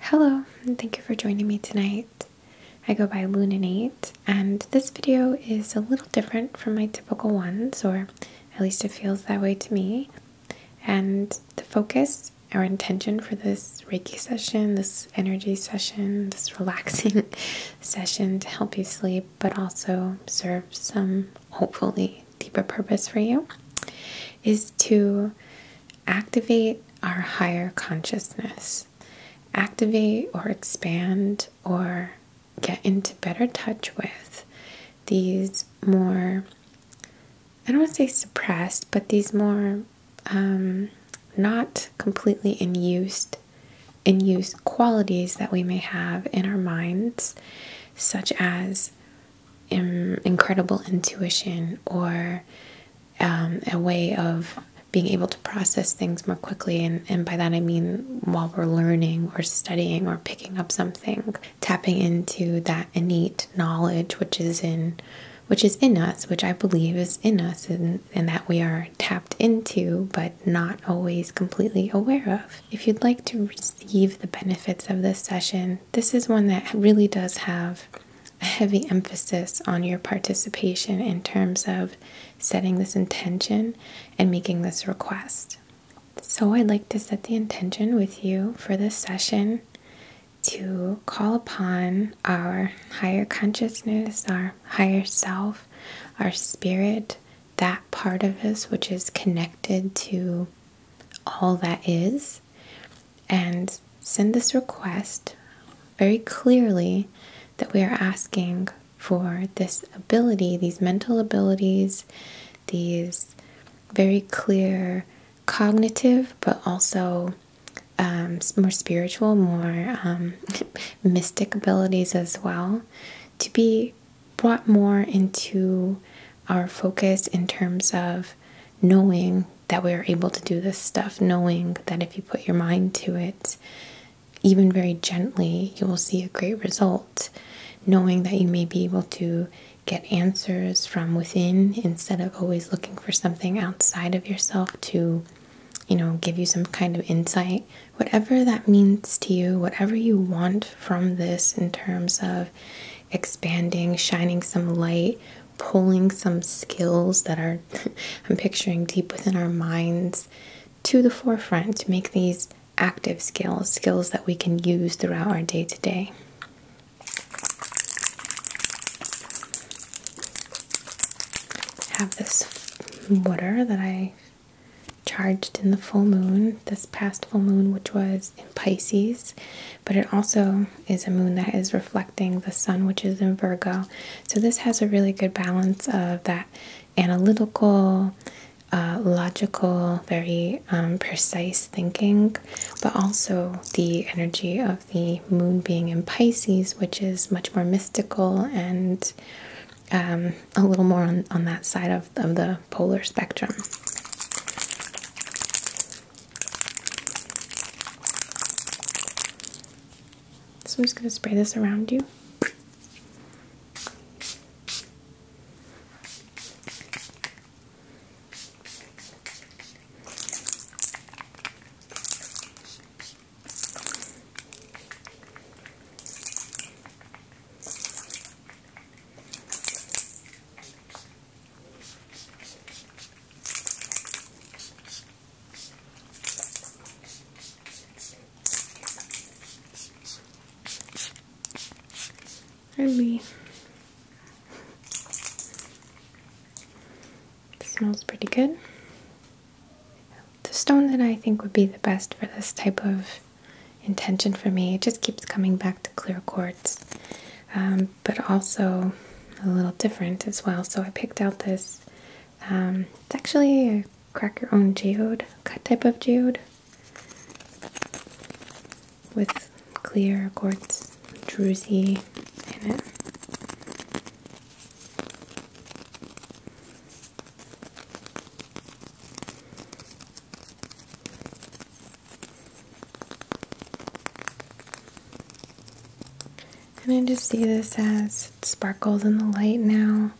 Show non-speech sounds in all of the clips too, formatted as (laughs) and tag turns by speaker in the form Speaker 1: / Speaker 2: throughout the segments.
Speaker 1: Hello, and thank you for joining me tonight. I go by Lunanate, and this video is a little different from my typical ones, or at least it feels that way to me. And the focus our intention for this Reiki session, this energy session, this (laughs) relaxing (laughs) session to help you sleep, but also serve some hopefully deeper purpose for you, is to activate our higher consciousness, activate or expand or get into better touch with these more, I don't want to say suppressed, but these more um, not completely in use, in use qualities that we may have in our minds, such as incredible intuition or um, a way of being able to process things more quickly. And, and by that I mean while we're learning or studying or picking up something, tapping into that innate knowledge which is in which is in us, which I believe is in us and, and that we are tapped into but not always completely aware of. If you'd like to receive the benefits of this session, this is one that really does have a heavy emphasis on your participation in terms of setting this intention and making this request. So, I'd like to set the intention with you for this session to call upon our higher consciousness, our higher self, our spirit, that part of us which is connected to all that is, and send this request very clearly that we are asking for this ability, these mental abilities, these very clear cognitive, but also um, more spiritual, more um, (laughs) mystic abilities as well, to be brought more into our focus in terms of knowing that we are able to do this stuff, knowing that if you put your mind to it, even very gently, you will see a great result. Knowing that you may be able to get answers from within instead of always looking for something outside of yourself to, you know, give you some kind of insight. Whatever that means to you, whatever you want from this in terms of expanding, shining some light, pulling some skills that are, (laughs) I'm picturing deep within our minds, to the forefront to make these active skills, skills that we can use throughout our day to day. Have this water that I charged in the full moon, this past full moon, which was in Pisces, but it also is a moon that is reflecting the sun, which is in Virgo. So, this has a really good balance of that analytical, uh, logical, very um, precise thinking, but also the energy of the moon being in Pisces, which is much more mystical and um, a little more on, on that side of, of the polar spectrum. So I'm just going to spray this around you. Ruby. It smells pretty good. The stone that I think would be the best for this type of intention for me, it just keeps coming back to clear quartz. Um, but also a little different as well. So I picked out this. Um, it's actually a crack your own geode type of geode with clear quartz druzy in it. And I just see this as sparkles in the light now,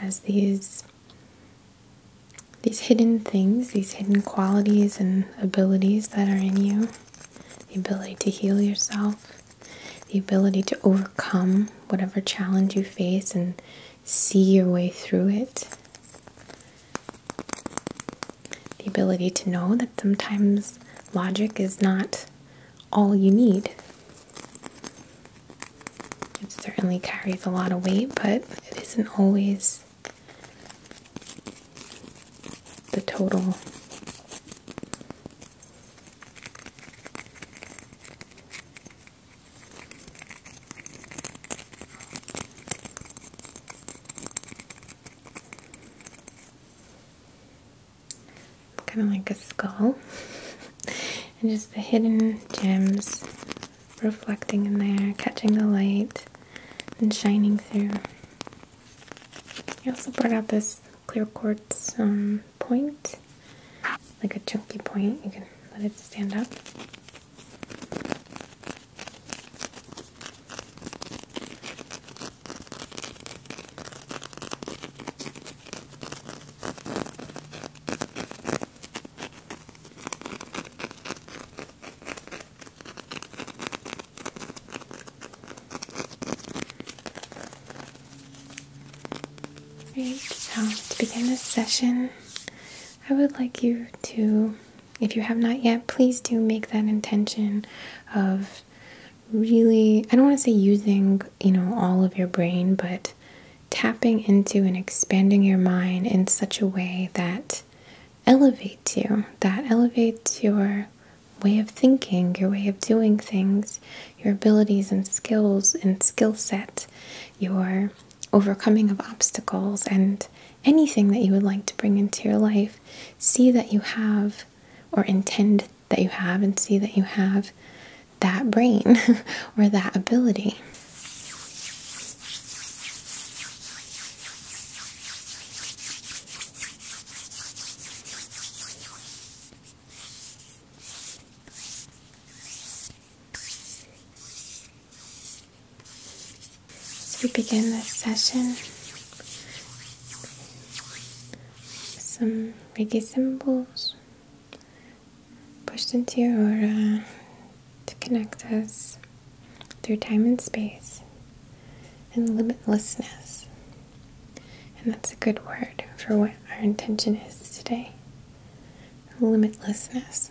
Speaker 1: as these these hidden things, these hidden qualities and abilities that are in you, the ability to heal yourself, the ability to overcome whatever challenge you face and see your way through it the ability to know that sometimes logic is not all you need. It certainly carries a lot of weight, but it isn't always the total. Kind of like a skull, (laughs) and just the hidden gems reflecting in there, catching the light and shining through. I also brought out this clear quartz um, point, like a chunky point. You can let it stand up. Right, so to begin this session, I would like you to if you have not yet, please do make that intention of really, I don't want to say using, you know, all of your brain, but tapping into and expanding your mind in such a way that elevates you, that elevates your way of thinking, your way of doing things, your abilities and skills and skill set, your overcoming of obstacles and anything that you would like to bring into your life, see that you have, or intend that you have, and see that you have that brain (laughs) or that ability. As we begin this session, some Reiki symbols pushed into your aura to connect us through time and space and limitlessness. And that's a good word for what our intention is today limitlessness.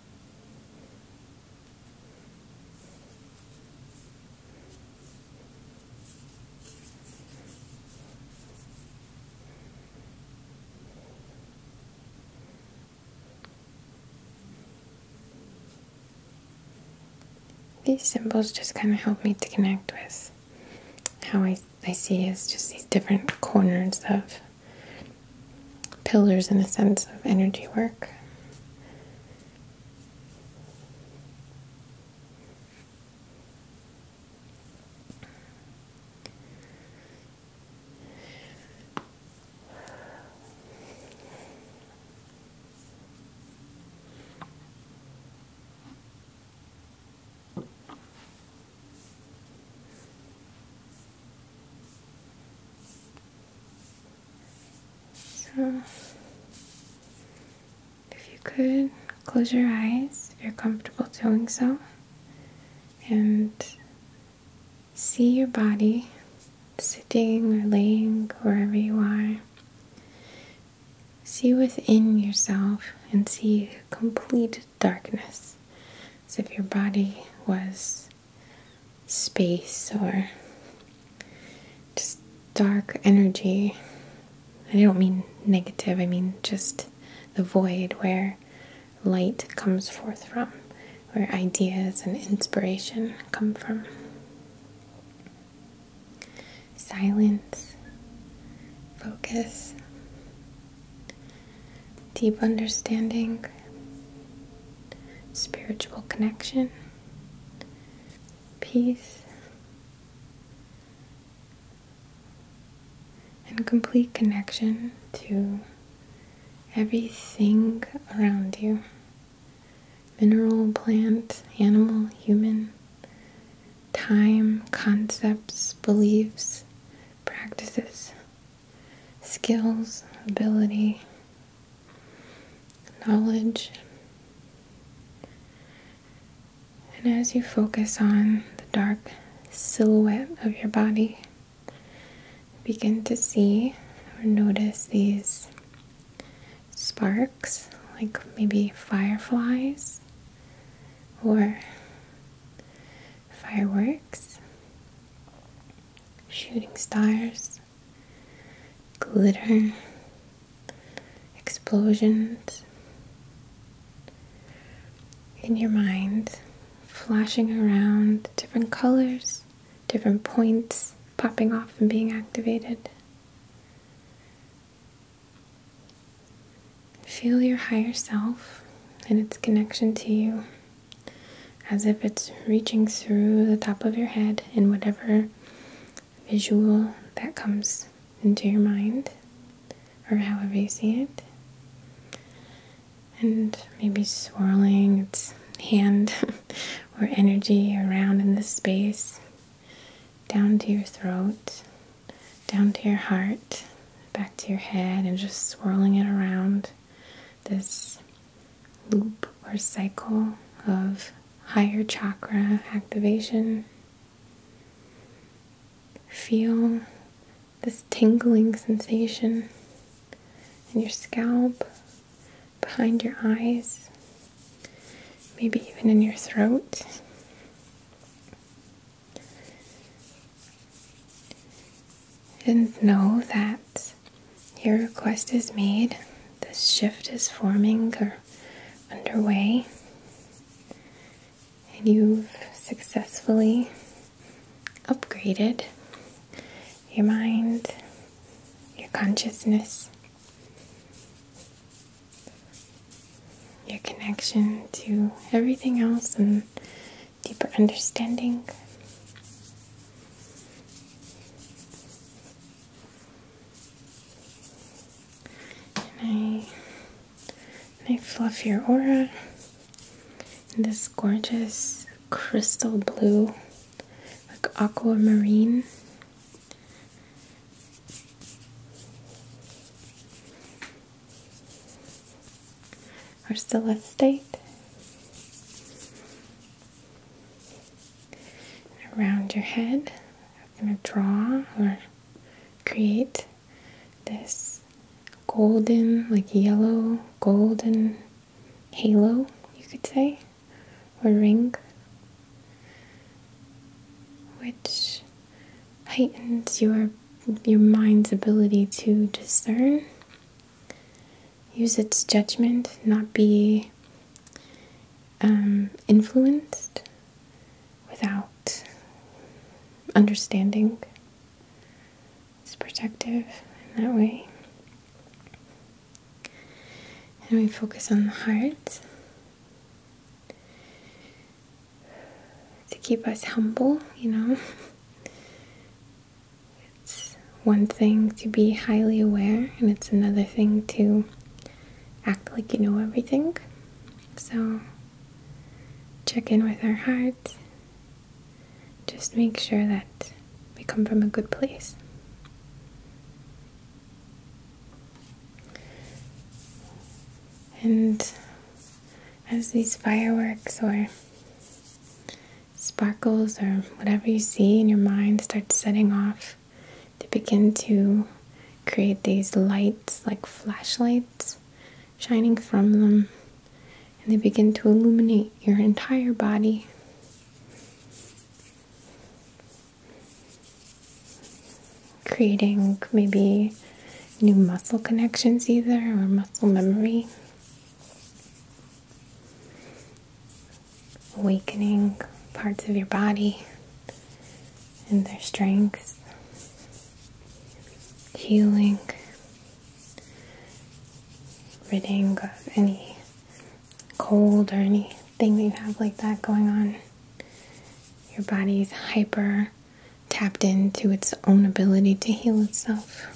Speaker 1: These symbols just kind of help me to connect with how I, I see as just these different corners of pillars in a sense of energy work. So, if you could close your eyes if you're comfortable doing so and see your body sitting or laying wherever you are. See within yourself and see complete darkness, as if your body was space or just dark energy. I don't mean negative, I mean just the void where light comes forth from, where ideas and inspiration come from. Silence, focus, deep understanding, spiritual connection, peace, and complete connection to everything around you mineral, plant, animal, human, time, concepts, beliefs, practices skills, ability, knowledge. And as you focus on the dark silhouette of your body, begin to see or notice these sparks, like maybe fireflies or fireworks, shooting stars, glitter, explosions. In your mind, flashing around different colors, different points popping off and being activated. Feel your higher self and its connection to you as if it's reaching through the top of your head in whatever visual that comes into your mind or however you see it. And maybe swirling its hand (laughs) or energy around in the space, down to your throat, down to your heart, back to your head, and just swirling it around this loop or cycle of higher chakra activation. Feel this tingling sensation in your scalp, behind your eyes, maybe even in your throat. And know that your request is made, The shift is forming or underway, and you've successfully upgraded your mind, your consciousness, your connection to everything else and deeper understanding. And I, and I fluff your aura in this gorgeous crystal blue, like aquamarine are still at state. Around your head, I'm going to draw or create this golden, like yellow, golden halo, you could say, or ring, which heightens your your mind's ability to discern, use its judgment, not be um, influenced without understanding. It's protective in that way. And we focus on the heart to keep us humble, you know. It's one thing to be highly aware, and it's another thing to act like you know everything. So, check in with our hearts. Just make sure that we come from a good place. And as these fireworks or sparkles or whatever you see in your mind start setting off, they begin to create these lights like flashlights shining from them, and they begin to illuminate your entire body. Creating maybe new muscle connections either or muscle memory. Awakening parts of your body and their strengths, healing, ridding of any cold or anything that you have like that going on. Your body's hyper tapped into its own ability to heal itself.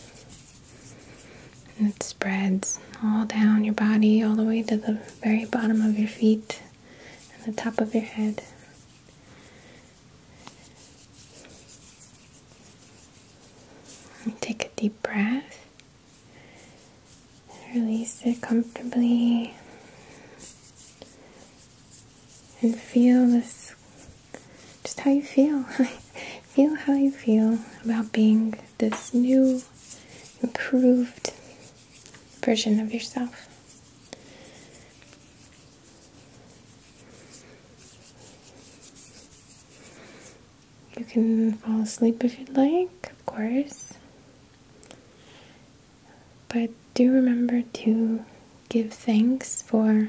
Speaker 1: And it spreads all down your body, all the way to the very bottom of your feet and the top of your head. take a deep breath. Release it comfortably and feel this just how you feel. (laughs) feel how you feel about being this new, improved version of yourself. You can fall asleep if you'd like, of course. But do remember to give thanks for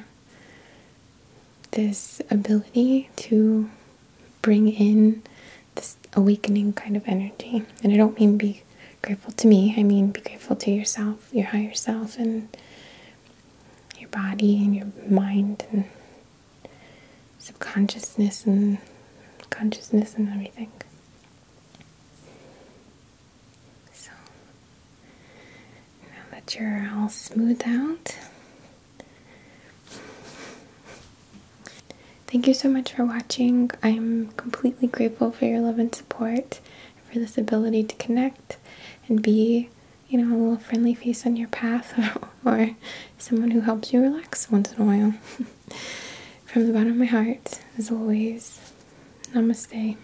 Speaker 1: this ability to bring in this awakening kind of energy. And I don't mean be grateful to me, I mean be grateful to yourself, your higher self, and your body, and your mind, and subconsciousness, and consciousness, and everything. So now that you're all smoothed out, thank you so much for watching. I'm completely grateful for your love and support, for this ability to connect and be, you know, a little friendly face on your path or, (laughs) or someone who helps you relax once in a while. (laughs) From the bottom of my heart, as always, namaste.